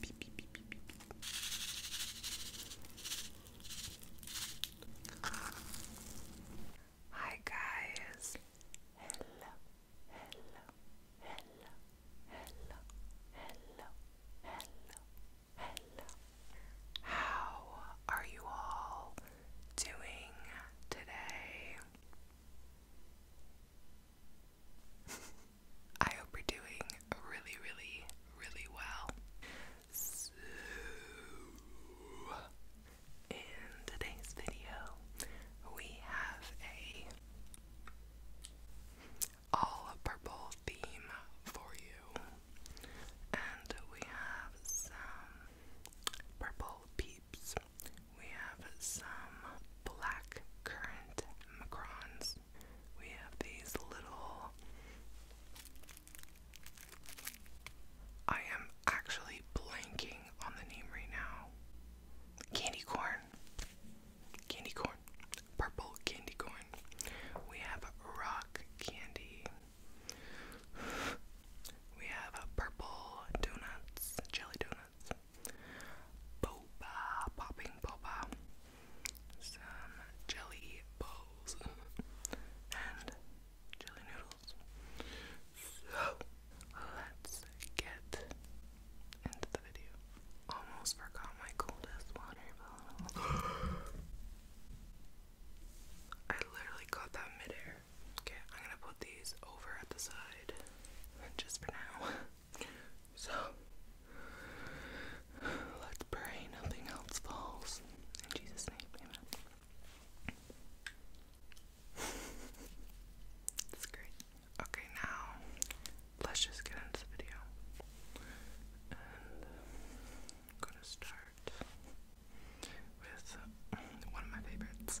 Beep, beep, beep, beep, beep. Hi guys. Hello. Hello. Hello. Hello. Hello. Hello. Hello. How are you all doing today? I hope you're doing really, really, really well. So, in today's video, we have a all purple theme for you and we have some purple peeps. We have some black currant macrons. We have these little. I am actually blanking on the name right now. Candy corn. Candy corn purple candy corn. We have rock candy. We have purple donuts, jelly donuts, boba, popping boba, some jelly bowls, and jelly noodles. So let's get into the video. Almost forgot my coldest water bottle. I literally caught that midair. Okay, I'm gonna put these over at the side just for now. so, let's pray nothing else falls. In Jesus' name, That's great. Okay, now let's just get into the video. I'm gonna start with uh, one of my favorites.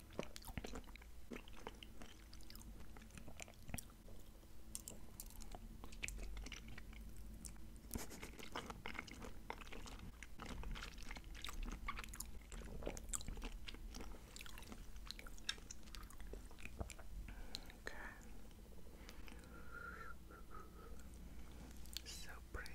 Okay. So pretty.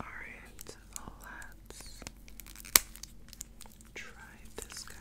Alright, let's try this guy.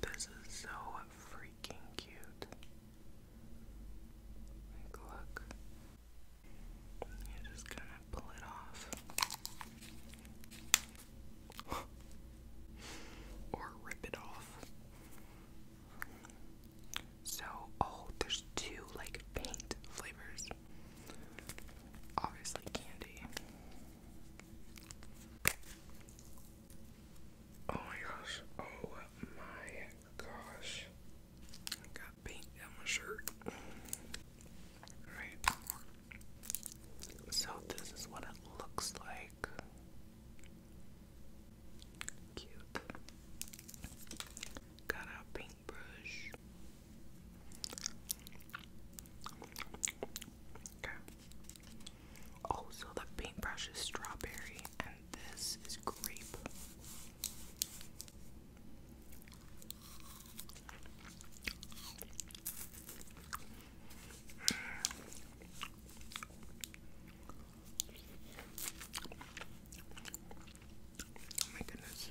This is so freaking cute look. You just kind of pull it off. or rip it off. So, oh, there's two like paint flavors. Obviously, candy. Oh my gosh. Oh my gosh. I got paint on my shirt. Alright. So this is what it looks like. Cute. Got our paintbrush. Okay. Oh, the paintbrush is strawberry, and this is great. Oh my goodness.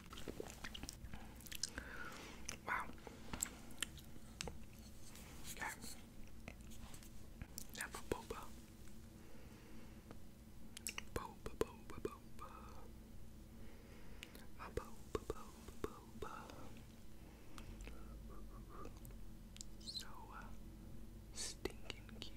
Wow. Okay. Now for boba. Boba, boba, boba. My boba, boba, boba. So uh, stinking cute.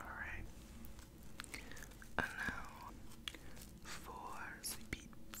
Alright. And now for the beeps.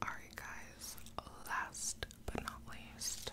Alright, guys, last but not least.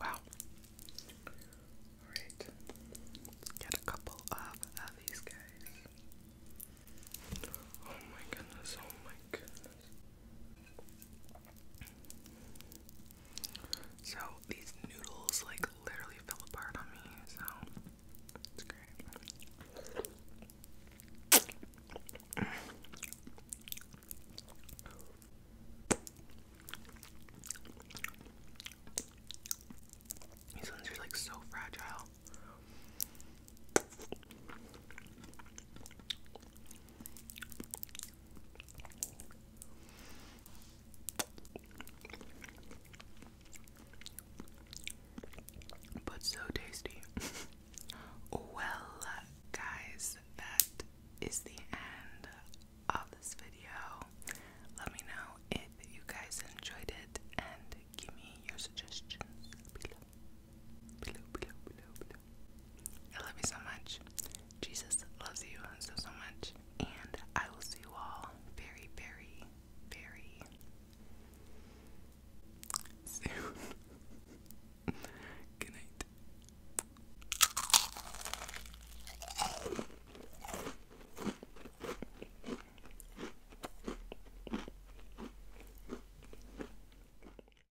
Wow. All right. Let's get a couple of these guys. Oh my goodness. Oh my goodness. So these noodles like literally fell apart on me, so it's great. These ones are like so fragile. But so tasty. well, guys, that is the end of this video. Let me know if you guys enjoyed it and give me your suggestions below. Below, below, below, below. I love you so much. Jesus loves you so, so much. And I will see you all very, very, very soon. Good night.